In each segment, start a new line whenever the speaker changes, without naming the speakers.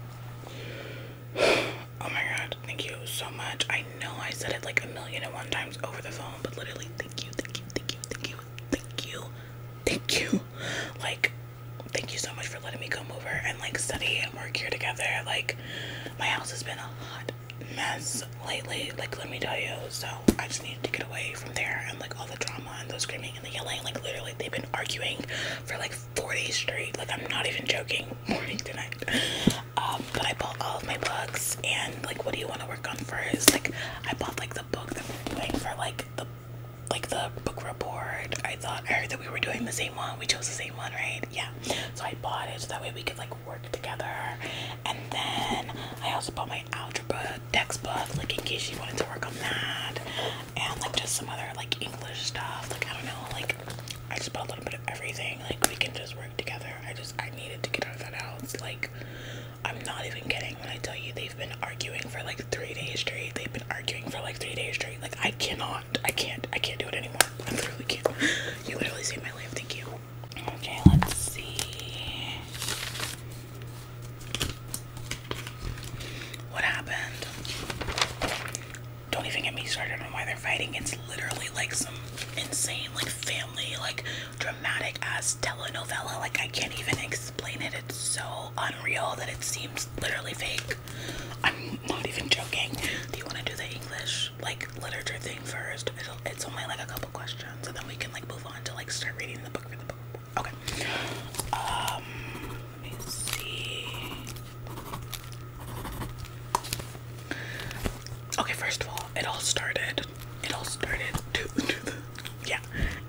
Oh my god, thank you so much. I know I said it like a million and one times over the phone, but literally, thank you, thank you, thank you, thank you, thank you, thank you. Like, thank you so much for letting me come over and like study and work here together. Like, my house has been a hot mess lately, like, let me tell you. So, I just needed to get away from there and like all the drama and the screaming and the yelling. Like, literally, they've been arguing for like 40 days straight. Like I'm not even joking. Morning to night. Um, but I bought all of my books and like what do you want to work on first? Like I bought like the book that we are doing for like the like the book report. I thought I heard that we were doing the same one. We chose the same one, right? Yeah. So I bought it so that way we could like work together. And then I also bought my algebra textbook, like in case you wanted to work on that and like just some other like English stuff. Like I don't know, like I just put a little bit of everything. Like we can just work together. I just I needed to get out of that house. Like I'm not even kidding when I tell you they've been arguing for like three days straight. They've been arguing for like three days straight. Like I cannot, I can't, I can't do it anymore. I literally can't. You literally saved my life. Thank you. Okay, let's see. What happened? don't even get me started on why they're fighting. It's literally like some insane, like family, like dramatic ass telenovela. Like I can't even explain it. It's so unreal that it seems literally fake. I'm not even joking. Do you want to do the English like literature thing 1st it's only like a couple questions, and then we can like move on to like start reading the book for the book. Okay. Um, let me see. Okay, first of all, it all started. It all started to, yeah.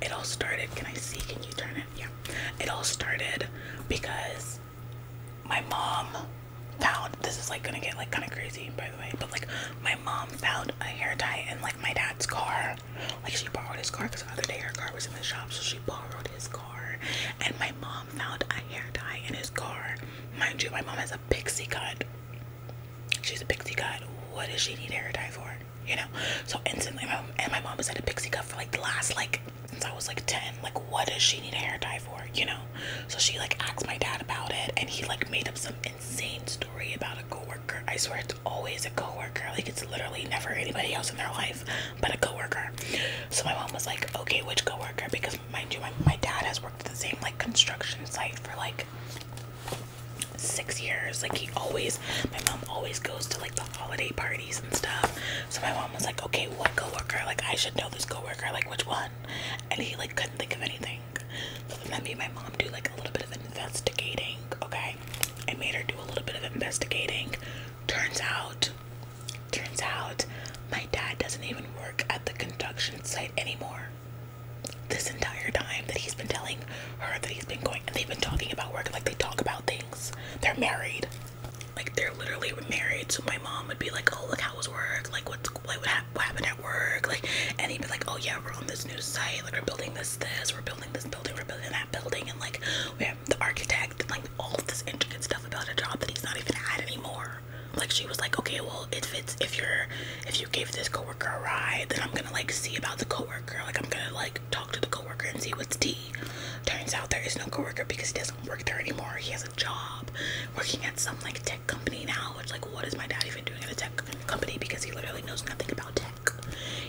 It all started. Can I see? Can you turn it? Yeah. It all started because my mom found this is like gonna get like kind of crazy by the way but like my mom found a hair tie in like my dad's car like she borrowed his car because the other day her car was in the shop so she borrowed his car and my mom found a hair dye in his car. Mind you, my mom has a pixie cut. She's a pixie cut. What does she need hair dye for? You know? So instantly, and my mom has had a pixie cut for like the last, like, since I was like 10. Like, what does she need a hair dye for? You know? So she like asked my dad about it, and he like made up some insane story about a coworker. I swear it's always a coworker. Like, it's literally never anybody else in their life but a coworker. So my mom was like, okay, which coworker? Because mind you, my, dad has worked at the same like construction site for like six years. Like he always, my mom always goes to like the holiday parties and stuff. So my mom was like, okay, what coworker? Like I should know this coworker. Like which one? And he like couldn't think of anything. So then that made my mom do like a little bit of investigating. Okay, I made her do a little bit of investigating. Turns out Turns out my dad doesn't even work at the construction site anymore. This entire time that he's been telling her that he's been going and they've been talking about work, like they talk about things. They're married. Like they're literally married. So my mom would be like, Oh, look how was work? Like what's like what, happened at work? Like and he'd be like, Oh yeah, we're on this new site, like we're building this this, we're building this building, we're building that building and like we have the architect like all this intricate stuff about a job that he's not even at anymore. Like she was like, okay, well, if it's if you're if you gave this coworker a ride, then I'm gonna like see about the coworker. Like I'm gonna like talk to the coworker and see what's tea. Turns out there is no coworker because he doesn't work there anymore. He has a job working at some like tech company now. Which like, what is my dad even doing at a tech company? Because he literally knows nothing about tech.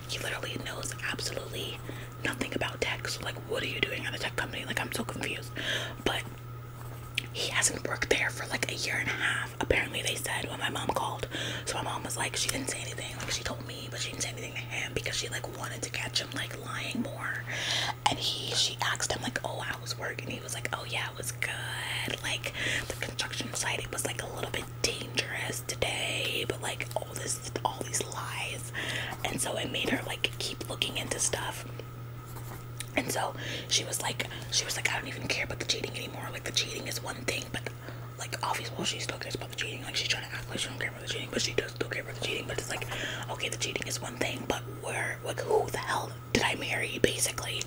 He literally knows absolutely nothing about tech. So like, what are you doing at a tech company? Like, I'm so confused. But he hasn't worked there for like a year and a half. Apparently, they said when my mom called. So my mom was like, she didn't say anything. Like she told me, but she didn't say anything to him because she like wanted to catch him like lying more. And he, she asked him like, oh, I was working. he was like, oh yeah, it was good. Like the construction site, it was like a little bit dangerous today. But like all this, all these lies and so I made her like keep looking into stuff. And so she was like, she was like, I don't even care about the cheating anymore. Like the cheating is one thing, but like obviously well, she still cares about the cheating. Like she's trying to act like she don't care about the cheating, but she does still care about the cheating. But it's like, okay, the cheating is one thing, but where, like, who the hell did I marry, basically?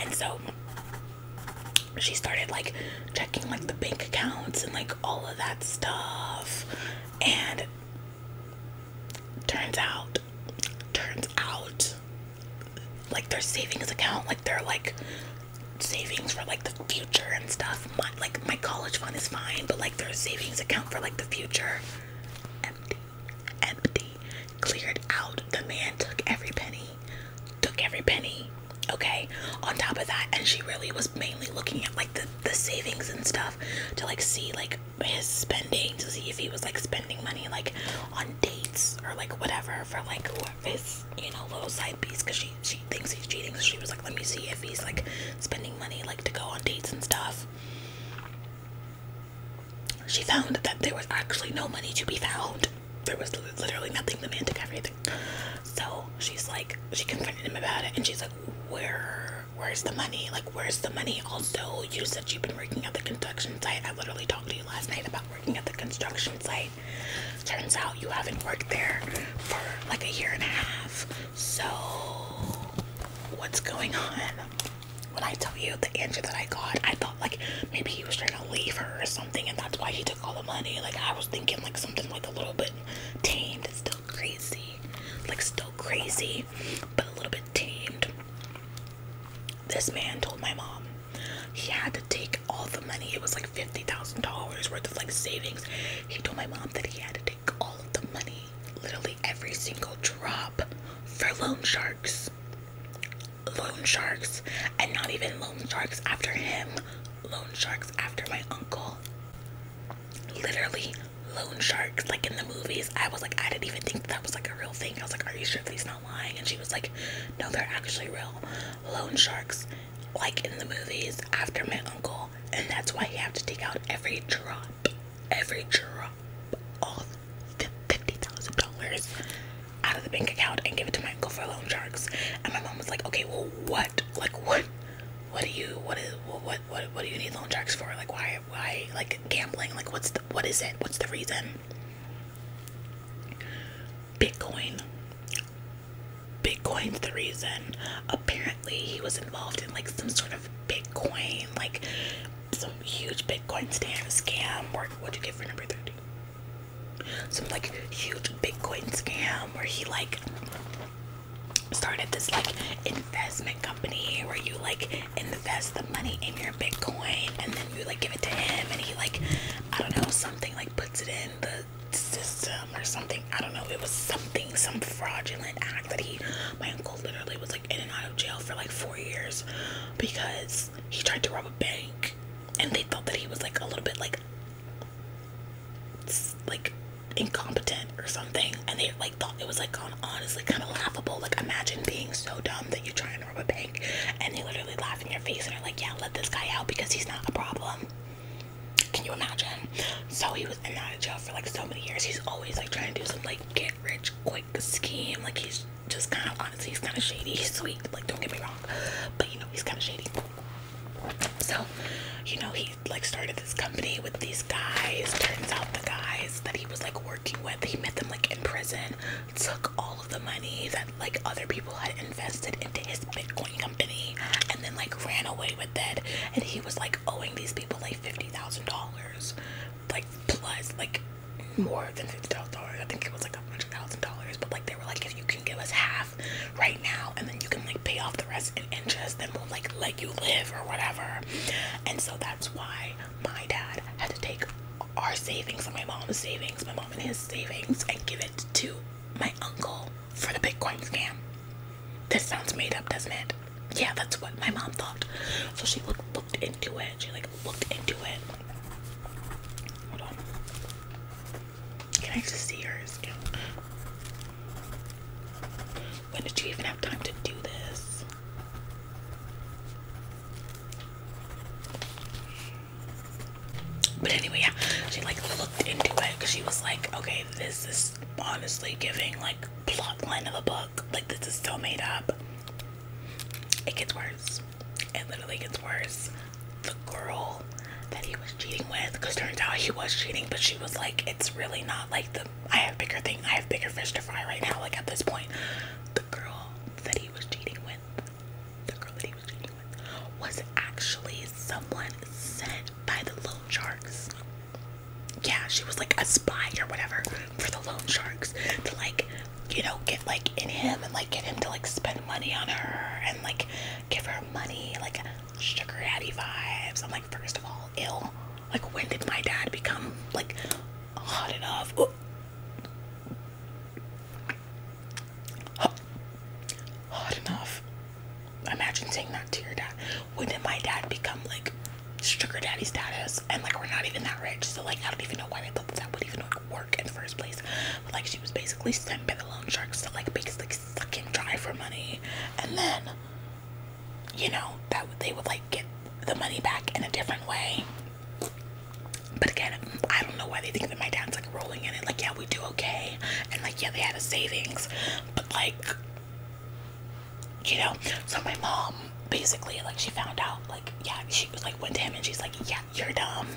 And so she started like checking like the bank accounts and like all of that stuff and turns out turns out like their savings account like they're like savings for like the future and stuff my, like my college fund is fine but like their savings account for like the future empty empty cleared out the man took every penny took every penny okay on top of that and she really was mainly looking at like the the savings and stuff to like see like his spending to see if he was like spending money like on dates or like whatever for like his you know little side piece because she she thinks he's cheating so she was like let me see if he's like spending money like to go on dates and stuff she found that there was actually no money to be found there was literally nothing the man took everything so she's like she confronted him about it and she's like where where's the money? Like, where's the money? Also, you said you've been working at the construction site. I literally talked to you last night about working at the construction site. Turns out you haven't worked there for like a year and a half. So, what's going on? When I tell you the answer that I got, I thought like maybe he was trying to leave her or something, and that's why he took all the money. Like, I was thinking like something like a little bit tamed crazy, like still crazy, but a little bit tamed. This man told my mom he had to take all the money. It was like fifty thousand dollars worth of like savings. He told my mom that he had to take all of the money, literally every single drop, for loan sharks. Loan sharks, and not even loan sharks after him, loan sharks after my uncle. Literally loan sharks like in the movies. I was like, I didn't even think that was like a real thing. I was like, Are you sure if he's not lying? And she was like, No, they're actually real. Loan sharks, like in the movies, after my uncle, and that's why you have to take out every drop, every drop of fifty thousand dollars out of the bank account and give it to my uncle for loan sharks. And my mom was like, Okay, well what? Like what what do you what is what what what do you need loan sharks for? Like why why like gambling? Like what's the what is it? What's the reason? Bitcoin. Bitcoin's the reason. Apparently he was involved in like some sort of Bitcoin, like some huge Bitcoin scam Or what'd you get for number thirty? Some like huge Bitcoin scam where he like started this like investment company where you like invest the money in your bitcoin and then you like give it to him and he like i don't know something like puts it in the system or something i don't know it was something some fraudulent act that he my uncle literally was like in and out of jail for like four years because he tried to rob a bank and they thought that he was like a little bit like like incompetent or something and they like thought it was like on honestly kind of laughable like imagine being so dumb that you try and rob a bank and they literally laugh in your face and are like yeah let this guy out because he's not a problem can you imagine so he was in out of jail for like so many years he's always like trying to do some like get rich quick scheme like he's just kind of honestly he's kind of shady he's sweet like don't get me wrong but you know he's kind of shady so you know he he like started this company with these guys. Turns out the guys that he was like working with, he met them like in prison, took all of the money that like other people had invested into his Bitcoin company, and then like ran away with it. And he was like owing these people like fifty thousand dollars, like plus like more than fifty thousand dollars. I think it was like a hundred thousand dollars. But like they were like, if you can give us half right now, and then you can like pay off up the rest then we'll like let you live or whatever. And so that's why my dad had to take our savings and my mom's savings, my mom and his savings, and give it to my uncle for the Bitcoin scam. This sounds made up, doesn't it? Yeah, that's what my mom thought. So she looked into it. She like looked into it. Hold on. Can I just see hers? When did you even have time to do this? But anyway, yeah, she like looked into it because she was like, okay, this is honestly giving like plot line of a book. Like this is still made up. It gets worse. It literally gets worse. The girl that he was cheating with, because turns out he was cheating, but she was like, it's really not like the I have bigger thing. I have bigger fish to fry right now. Like at this point, the girl that he was cheating with, the girl that he was cheating with, was actually someone sent by the loan sharks. Yeah, she was like a spy or whatever for the loan sharks to like, you know, get like in him and like get him to like spend money on her and like give her money like sugar daddy vibes. I'm first of all ill like when did my dad become like hot enough Ooh. hot enough imagine saying that to your dad when did my dad become like sugar daddy status and like we're not even that rich so like i don't even know why they thought that, would even work in the first place but like she was basically sent by the loan sharks to like basically suck him dry for money and then you know, that they would like get the money back in a different way. But again, I don't know why they think that my dad's like rolling in it. Like, yeah, we do okay. And like, yeah, they had a savings. But like, you know, so my mom basically, like, she found out, like, yeah, she was like, went to him and she's like, yeah, you're dumb.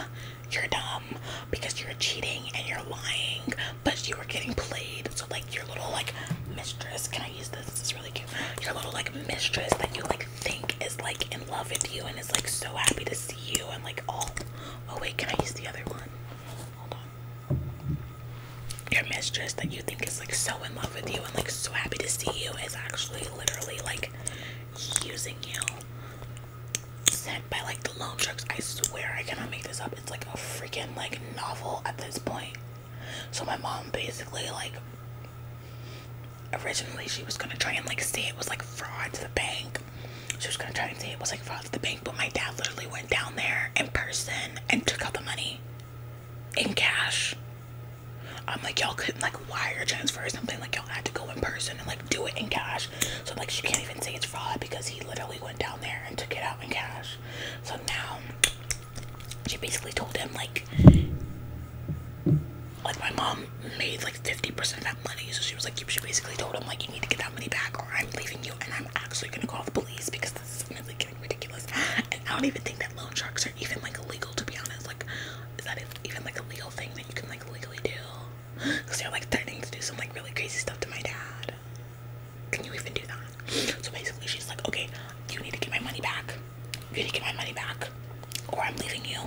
You're dumb because you're cheating and you're lying but you were getting played. So like your little like mistress, can I use this? This is really cute. Your little like mistress that you like think is like in love with you and is like so happy to see you and like Oh, oh wait, can I use the other one? Hold on. Your mistress that you think is like so in love with you and like so happy to see you is actually literally like using you. Sent by like the loan sharks. I swear I cannot make this up. It's like a freaking like novel at this point. So my mom basically like originally she was gonna try and like say it was like fraud to the bank. She was gonna try and say it was like fraud to the bank, but my dad literally went down there in person and took out the money in cash. I'm like y'all couldn't like wire transfer or something, like y'all had to go in person and like do it in cash. So like she can't even say it's fraud because he literally went down there and took it out in cash. So now she basically told him like like my mom made like 50% of that money so she was like she basically told him like you need to get that money back or i'm leaving you and i'm actually gonna call the police because this is really getting ridiculous and i don't even think that loan sharks are even like illegal to be honest like is that even like a legal thing that you can like legally do because they're like threatening to do some like really crazy stuff to my dad can you even do that? So basically, she's like, okay, you need to get my money back. You need to get my money back, or I'm leaving you.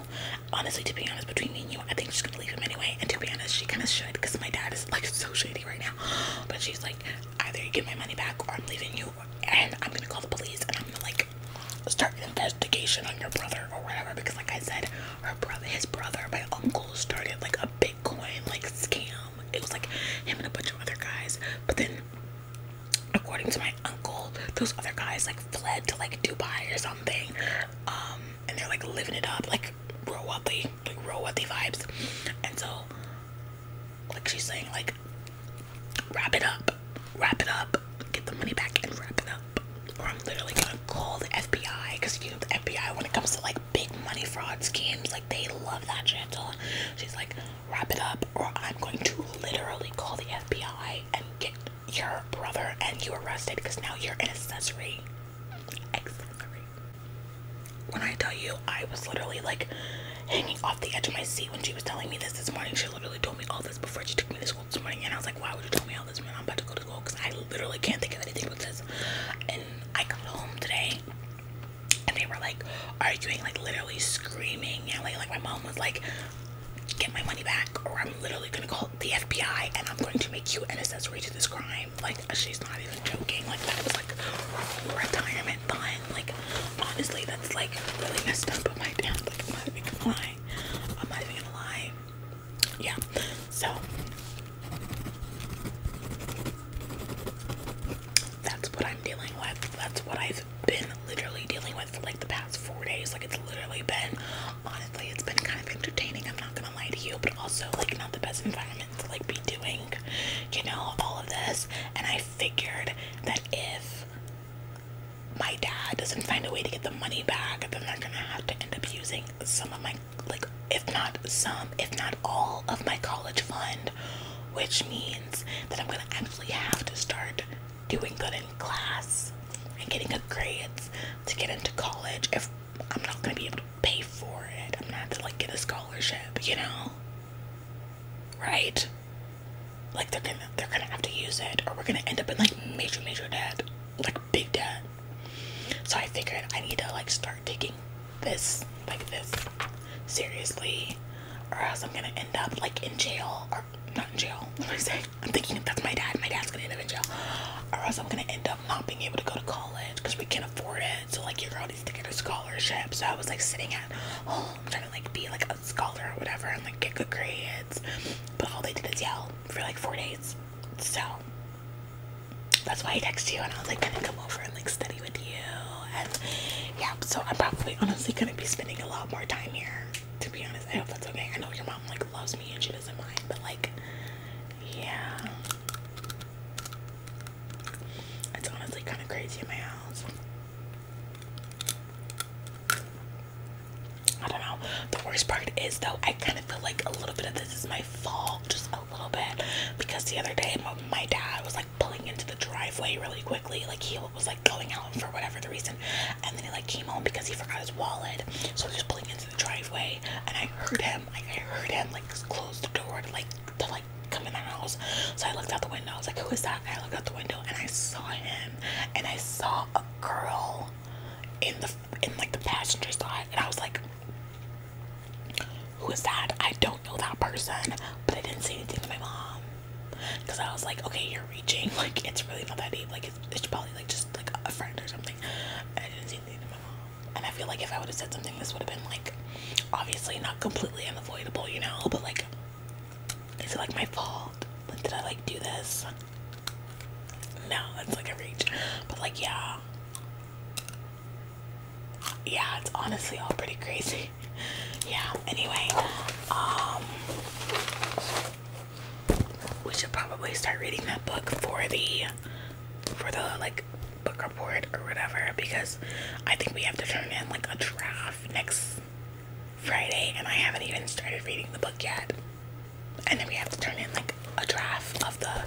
Honestly, to be honest, between me and you, I think she's gonna leave him anyway. And to be honest, she kind of should because my dad is like so shady right now. But she's like, either you get my money back, or I'm leaving you, and I'm gonna call the police and I'm gonna like start an investigation on your brother or whatever. Because like I said, her brother, his brother, my uncle started like a Bitcoin like scam it was like him and a bunch of other guys but then according to my uncle those other guys like fled to like dubai or something um, and they're like living it up like real wealthy like real vibes and so like she's saying like wrap it up wrap it up get the money back and wrap it up or i'm literally gonna call the fbi because you know the fbi when it comes to like big money fraud schemes like they love that shit so she's like wrap it up, or I'm going to literally call the FBI and get your brother and you arrested because now you're an accessory. When I tell you, I was literally like hanging off the edge of my seat when she was telling me this this morning. She literally told me all this before she took me to school this morning, and I was like, why would you tell me all this when I'm about to go to school? Because I literally can't think of anything but this. And I got home today and they were like arguing, like literally screaming, yelling. Like my mom was like, "Get my money back, or I'm literally gonna call the FBI and I'm going to make you an accessory to this crime." Like she's not even joking. Like that was like retirement fund. Like honestly, that's like really messed up. But my dad, like I'm not even gonna lie. I'm not even gonna lie. Yeah. So that's what I'm dealing with. That's what I've been literally dealing with for like the past four days. Like it's literally been, honestly, it's been kind of entertaining. I'm not gonna lie to you, but also like not the best environment to like be doing, you know, all of this. And I figured that if my dad doesn't find a way to get the money back, then they're gonna have to end up using some of my like if not some, if not all of my college fund which means that I'm gonna actually have to start doing good in class and getting good grades to get into college if I'm not gonna be able to pay for it. I'm gonna have to like get a scholarship, you know? Right? Like they're gonna they're gonna have to use it or we're gonna end up in like major major debt. Like big debt. So I figured I need to like start taking this like this seriously or else I'm gonna end up like in jail or not in jail what am I saying I'm thinking that's my dad my dad's gonna end up in jail or else I'm gonna end up not being able to go to college because we can't afford it so like your girl needs to get a scholarship so I was like sitting at oh I'm trying to like be like a scholar or whatever and like get good grades but all they did is yell for like four days so that's why I texted you and I was like gonna come over and like study with you and yeah so i'm probably honestly gonna be spending a lot more time here to be honest i hope that's okay i know your mom like loves me and she doesn't mind but like yeah it's honestly kind of crazy in my house I don't know. The worst part is though, I kind of feel like a little bit of this is my fault, just a little bit, because the other day my, dad was like pulling into the driveway really quickly. Like he was like going out for whatever the reason, and then he like came home because he forgot his wallet. So he was just pulling into the driveway, and I heard him. Like I heard him like close the door like to like come in the house. So I looked out the window. I was like, who is that? And I looked out the window, and I saw him, and I saw a girl in the in like the passenger side, and I was like who is that? I don't know that person, but I didn't say anything to my mom because I was like, okay, you're reaching. Like, it's really not that deep. Like, it's, probably like just like a friend or something. I didn't say anything to my mom, and I feel like if I would have said something, this would have been like obviously not completely unavoidable, you know. But like, is it like my fault? Like, did I like do this? No, that's like a reach. But like, yeah yeah, it's honestly all pretty crazy. yeah, anyway, um, we should probably start reading that book for the, for the, like, book report or whatever, because I think we have to turn in, like, a draft next Friday, and I haven't even started reading the book yet. And then we have to turn in, like, a draft of the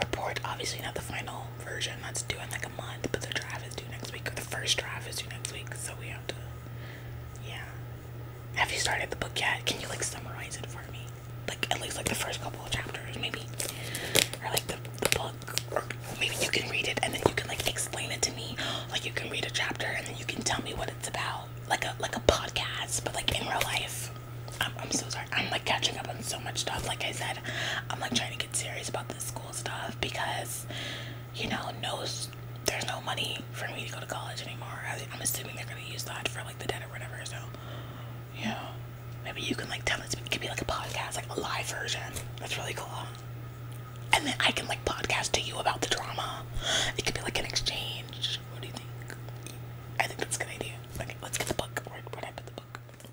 report, obviously not the final version that's due in like a month, but the drive is due next week, or the first drive is due next week, so we have to. Yeah. Have you started the book yet? Can you like summarize it for me? Like at least like the first couple of chapters, maybe, or like the, the book, or maybe you can read it and then you can like explain it to me. Like you can read a chapter and then you can tell me what it's about, like a like a podcast, but like in real life. I'm, I'm so sorry. I'm like catching up on so much stuff. Like I said, I'm like trying to get serious about the school stuff because you know, knows there's no money for me to go to college anymore. I, am assuming they're gonna use that for like the debt or whatever. So, you maybe you can like tell it. It could be like a podcast, like a live version. That's really cool. And then I can like podcast to you about the drama. It could be like an exchange. What do you think? I think that's a good idea. Okay, let's get the book. Where, where I put the book?